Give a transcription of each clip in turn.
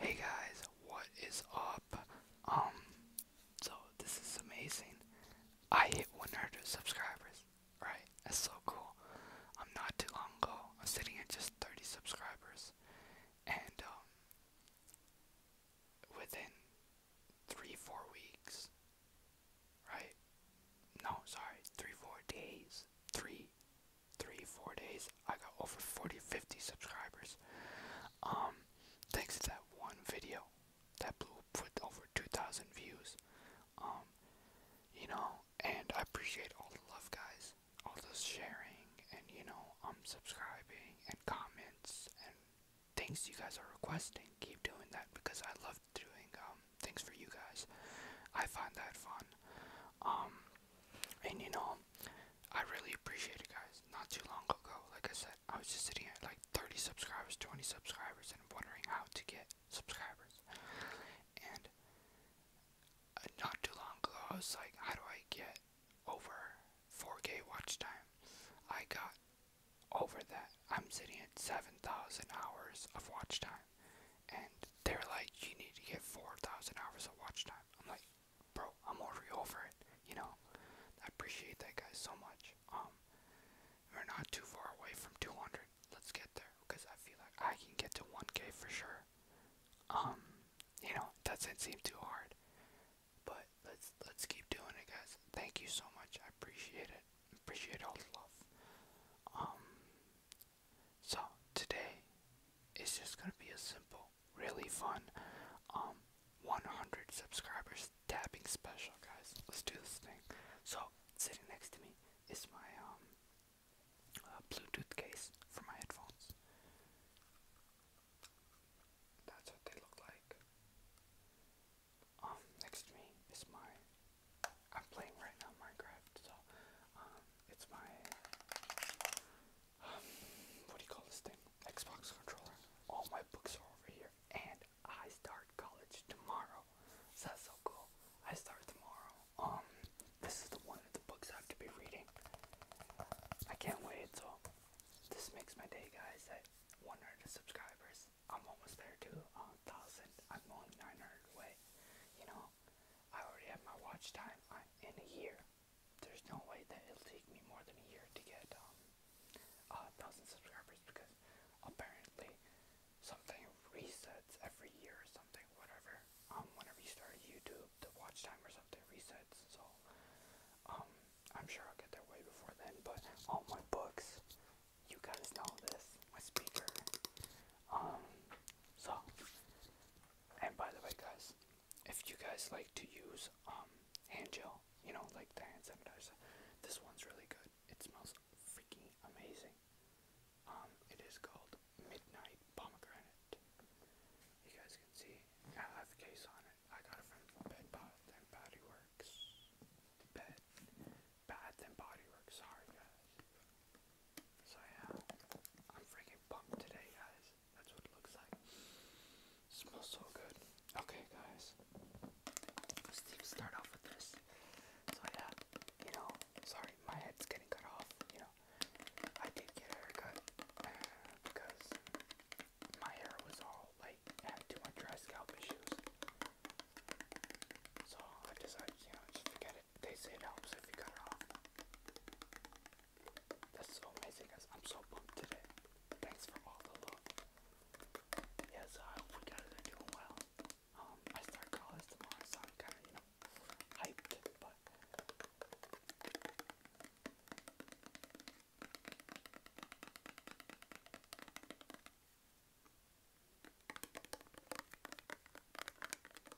Hey guys, what is up? Um, so this is amazing. I hit 100 subscribers, right? That's so cool. I'm not too long ago. I'm sitting at just 30 subscribers, and um, within three, four weeks, right? No, sorry, three, four days, three, three, four days, I got over 40, 50 subscribers. Um, thanks to that one video that blew put over 2,000 views. Um, you know, and I appreciate all the love, guys, all the sharing, and you know, I'm um, subscribing and comments and things you guys are requesting. Keep doing that because I love doing things for you guys. I find that fun. And you know, I really appreciate it, guys. Not too long ago, like I said, I was just sitting at like 30 subscribers, 20 subscribers, and wondering how to get subscribers. And uh, not too long ago, I was like, how do I get over 4K watch time? I got over that. I'm sitting at 7,000 hours of watch time. And they're like, you need to get 4,000 hours of watch time. I'm like, bro, I'm already over it. You know, I appreciate that guy so much. Um, we're not too far away from 200. Let's get there because I feel like I can get to 1K for sure. Um, you know, doesn't seem too hard, but let's let's keep doing it, guys. Thank you so much. I appreciate it. Appreciate all the love. Um, so today it's just gonna be a simple really fun um 100 subscribers tapping special guys let's do this thing so sitting next to me is my um uh, bluetooth case for my headphones that's what they look like um next to me is my i'm playing right now minecraft so um it's my um, what do you call this thing? Xbox controller. All my books are over here, and I start college tomorrow. So that's so cool. I start tomorrow. Um, this is the one of the books I have to be reading. I can't wait. So this makes my day, guys. At 100 subscribers, I'm almost there to a um, thousand. I'm only 900 away. You know, I already have my watch time. I'm in a year there's no way that it'll take me more than a year to get um, a thousand subscribers because apparently something resets every year or something, whatever. Um, whenever you start YouTube, the watch time or something resets. So, um, I'm sure I'll get there way before then. But all my books, you guys know this. My speaker. Um, so, and by the way, guys if you guys like to use um, hand gel, you know, like the hand sanitizer, this one's really good. It smells freaking amazing. Um, it is called Midnight Pomegranate. You guys can see I have a case on it. I got it from Bed Bath and Body Works. Bed Bath and Body Works. Sorry guys. So yeah, I'm freaking pumped today, guys. That's what it looks like. smells so good. Okay, guys. Let's start off with this. So yeah, you know, sorry, my head's getting cut off. You know, I did get a haircut uh, because my hair was all like had too much dry scalp issues. So I decided, you know, just forget it. They say it helps if you cut it off. That's so amazing, guys. I'm so pumped today. Thanks for all the love. Yes, I hope you guys are doing well. Um, I start college tomorrow, so kind of, you know, hyped, but.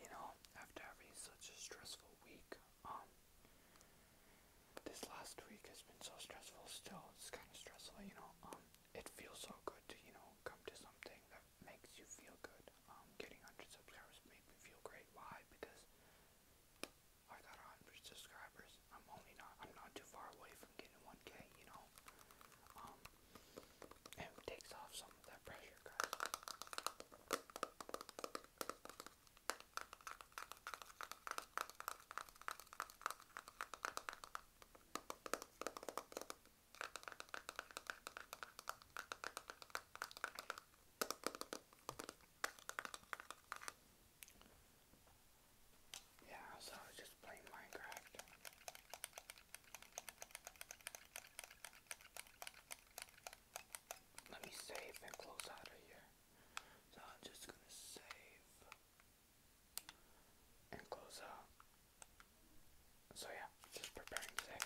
You know, after having such a stressful week, um, this last week has been so stressful. Still, it's kind of stressful, you know. Um, it feels so good to, you know, come to something that makes you feel good. Um, getting 100 subscribers made me feel great. Why? Because I got 100 subscribers. I'm only not. I'm not too far away from getting 1K, you know. Um, it takes off some of that pressure, yeah, so I was just playing Minecraft. Let me save and close out of here. So I'm just gonna save and close up. So yeah, just preparing today.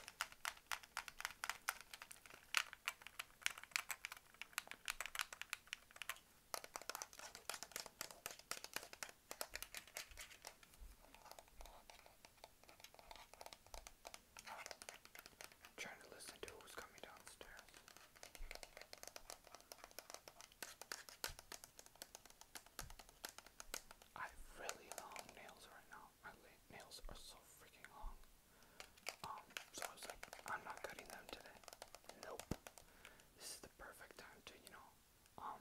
trying to listen to who's coming downstairs. I have really long nails right now. My nails are so freaking long. Um, so I was like, I'm not cutting them today. Nope. This is the perfect time to, you know, um,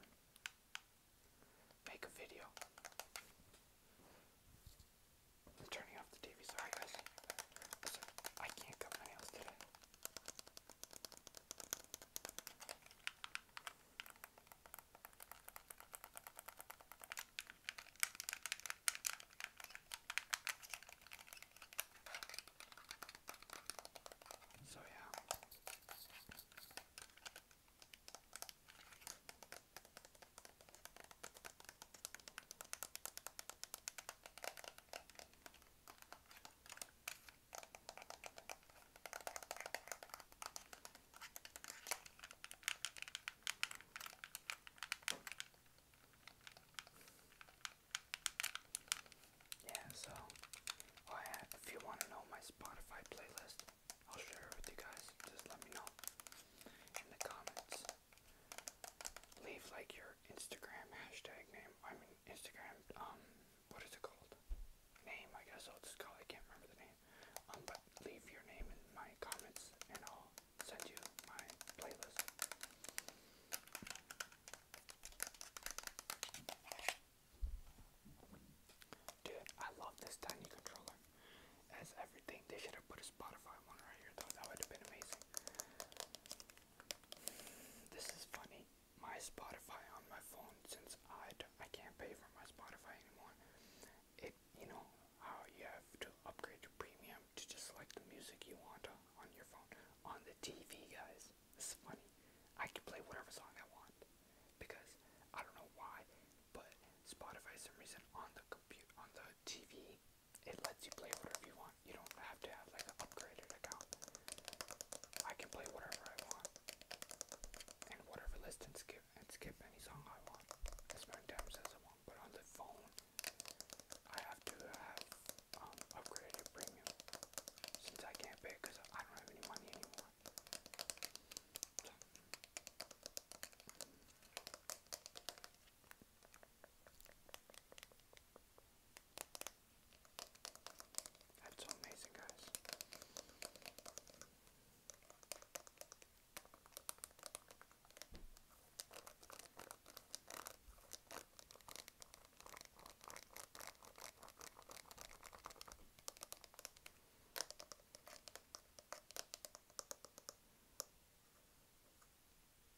make a video. I'm turning off the TV. Sorry, guys. Also, I can't cut my nails today. So, yeah. Yeah, so oh if you want to know my Spotify playlist, I'll share it with you guys. Just let me know in the comments leave like your Instagram hashtag name. I mean Instagram. Um, what is it called? Name, I guess I'll just call. I can't remember the name. Um, but leave your name in my comments, and I'll send you my playlist. Dude, I love this tiny controller. As everything, they should have put a Spotify one right here, though. That would have been amazing. This is funny. My Spotify on my phone, since I d I can't pay for my Spotify anymore, it, you know, how you have to upgrade to premium to just like the music you want on, your phone. On the TV, guys, this is funny. I can play whatever song I want because I don't know why, but Spotify, for some reason, on the computer, on the TV, it lets you play whatever you want. You don't have to have like an upgraded account. I can play whatever I want. And whatever list and skip and skip any song I want. As many times as I want. But on the phone I have to have um, upgraded premium. Since I can't pay because I don't have any money anymore. That's so amazing, guys.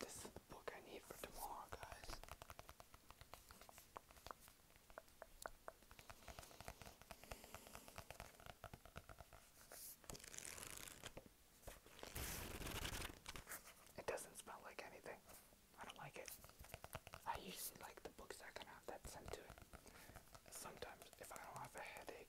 This is the book I need for tomorrow, guys. It doesn't smell like anything. I don't like it. I usually like the books that are going have that scent to it. Sometimes, if I don't have a headache,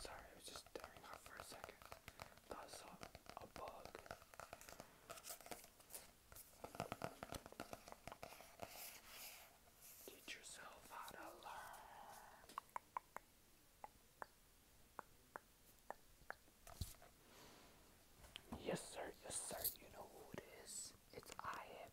Sorry, I was just staring off for a second. Thought a bug. Teach yourself how to learn. Yes, sir, yes, sir, you know who it is. It's I am.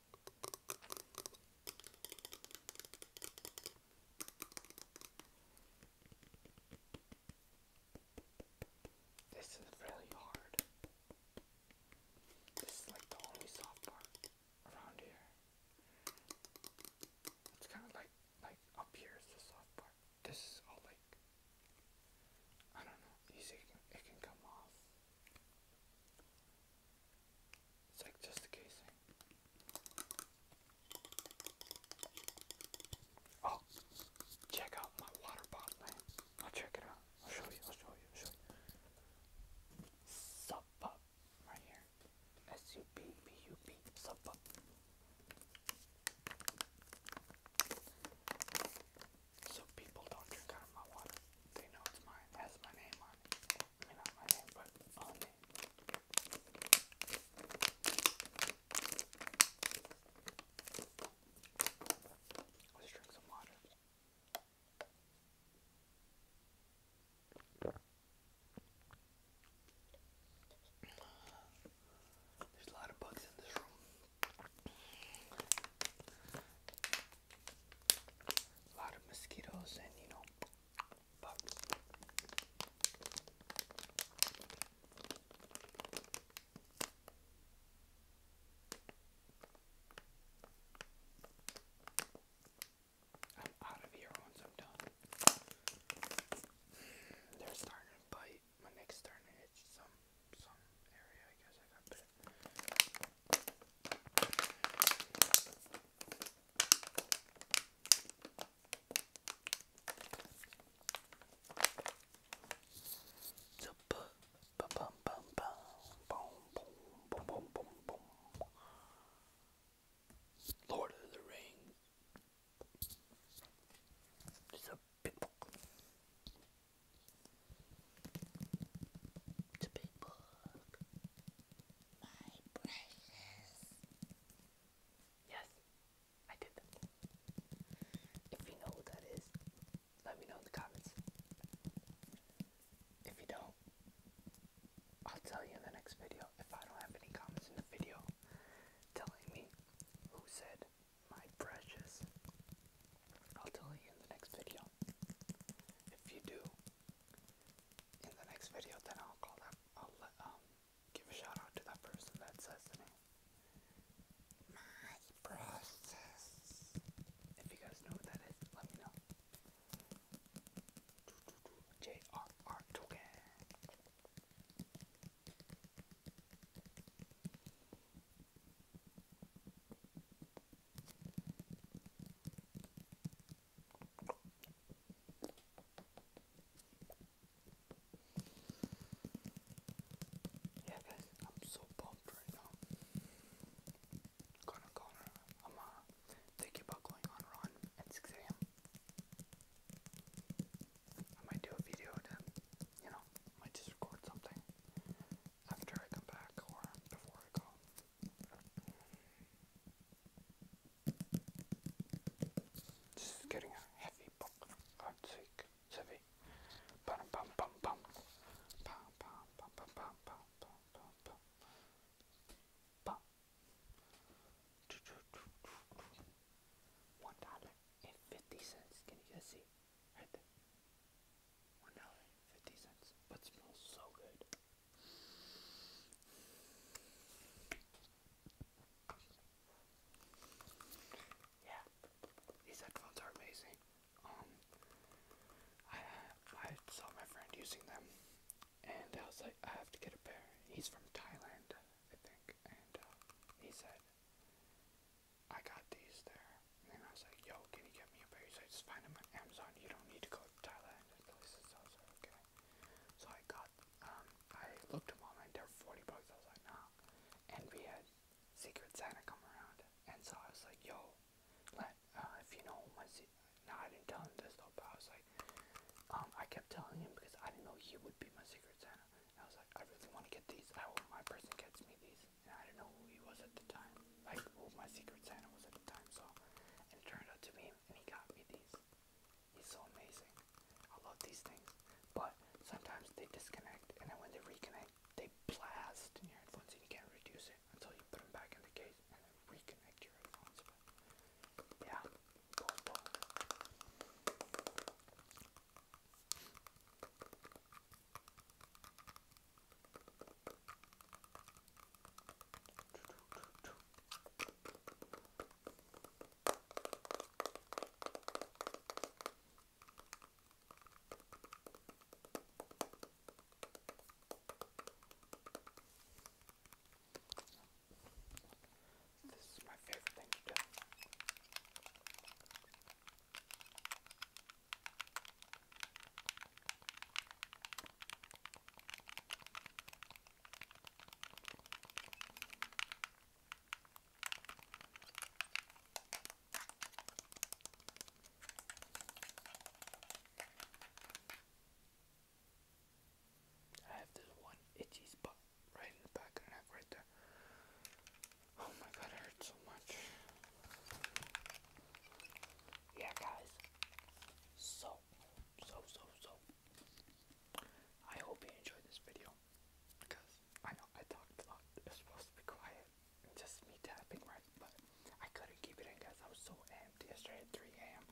This is really hard. This is like the only soft part around here. It's kind of like like up here is the soft part. This is all like I don't know. it can, it can come off. It's like just the casing. Oh, check out my water bottle. I'll check it out. I'll show you. I'll show you. Sub up right here. S U B B U B sub up. So people don't drink out of my water. They know it's mine. has my name on it. Let's drink some water. There's a lot of bugs in this room. A lot of mosquitoes and you know but I'm out of here once I'm done. They're starting to bite. My neck's starting to itch some some area I guess I got bit. Lord of the Rings. It's a big book. It's a big book my brushes. Yes, I did If you know who that is, let me know in the comments. If you don't, I'll tell you in the next video if I don't have any comments in the video telling me who said my precious. I'll tell you in the next video. If you do, in the next video, then I'll call that. I'll let, um give a shout out to that person that says to me. My process. If you guys know what that is, let me know. JRR token. Yeah, guys, I'm so pumped right now. Gonna go on. I'm uh, thinking going on run at 6 a.m. I might do a video to, you know, might just record something after I come back or before I go. This is getting a heavy book. God's sake, heavy. One dollar and fifty cents. Can you guys see? Right there. One dollar and fifty cents. But smells so good. Yeah, these headphones are amazing. Um, I I saw my friend using them, and I was like, I have to get a pair. He's from Thailand, I think, and uh, he said, I got these there. And I was like, Yo, can you get me a pair? just find them on Amazon. You don't need to go Thailand and places so I was like, okay. So I got um I looked them up and they're forty bucks, I was like, nah. And we had Secret Santa come around and so I was like, yo, let uh if you know my se no, I didn't tell him this though, but I was like um I kept telling him because I didn't know he would be my Secret Santa. And I was like, I really want to get these. I hope my person gets me these. And I didn't know who he was at the time. Like who my Secret Santa was at the time, so and it turned out to be and he got me these. He's so amazing. I love these things. But sometimes they disconnect, and then when they reconnect, they blast in your headphones, and you can't reduce it until you put them back in the case and then reconnect your headphones. But yeah, boom, boom. This is my favorite thing to do. I have this one itchy spot right in the back of the neck right there. Oh my god, it hurts so much. Yeah, guys. So, so, so, so. I hope you enjoyed this video because I know I talked a lot. It's supposed to be quiet just me tapping, right? But I couldn't keep it in because I was so amped yesterday 3 a.m.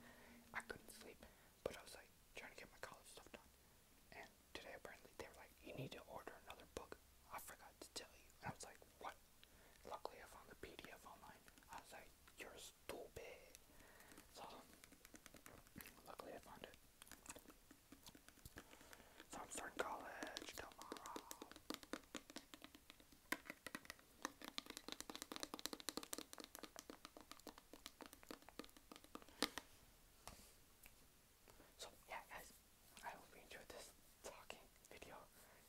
I couldn't sleep, but I was like trying to get my college stuff done. And today, apparently, they were like, You need to order another book. I forgot to tell you. I was like, What? Luckily, I found the PDF online. I was like, you stupid. So luckily I found it. So I'm starting college tomorrow. So yeah guys, I hope you enjoyed this talking video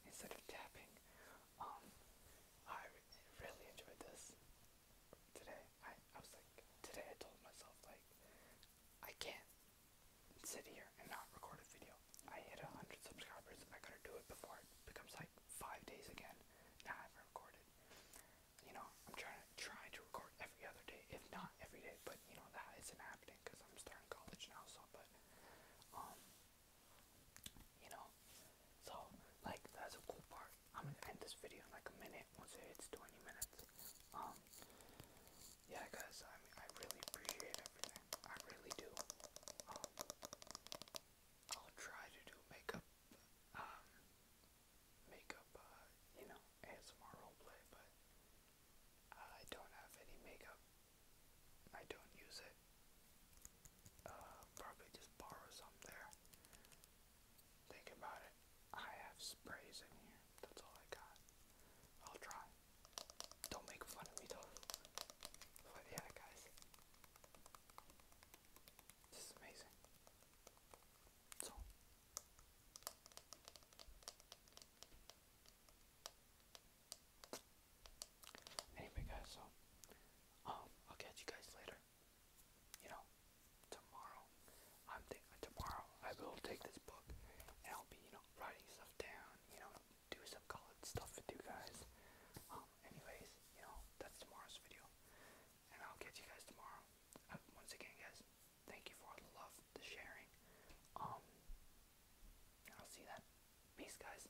instead of tapping. Um, I really enjoyed this today. I, I was like, today I told myself, like, I can't sit here and not record a video. I hit 100 subscribers. I gotta do it before it becomes like five days again. Now I haven't recorded. You know, I'm trying to try to record every other day, if not every day. But you know that isn't happening because I'm starting college now. So, but um, you know? So, like, that's a cool part. I'm gonna end this video in like a minute once it hits 20 minutes. Um, yeah, guys, I I really appreciate everything. I really do. Um, I'll try to do makeup, um, makeup, uh, you know, ASMR roleplay, but I don't have any makeup. I don't use it but uh, probably just borrow some there. Think about it. I have sprays in here. That's all I got. I'll try. Don't make fun of me though. But yeah, guys. This is amazing. So. Anyway, guys, so um, I'll catch you guys later. You know, tomorrow. I'm thinking tomorrow I will take this book and I'll be, you know, writing stuff down. You know, do some college stuff with you guys. Um, anyways, you know, that's tomorrow's video, and I'll catch you guys tomorrow. Uh, once again, guys, thank you for the love, the sharing. Um, I'll see that. Peace, guys.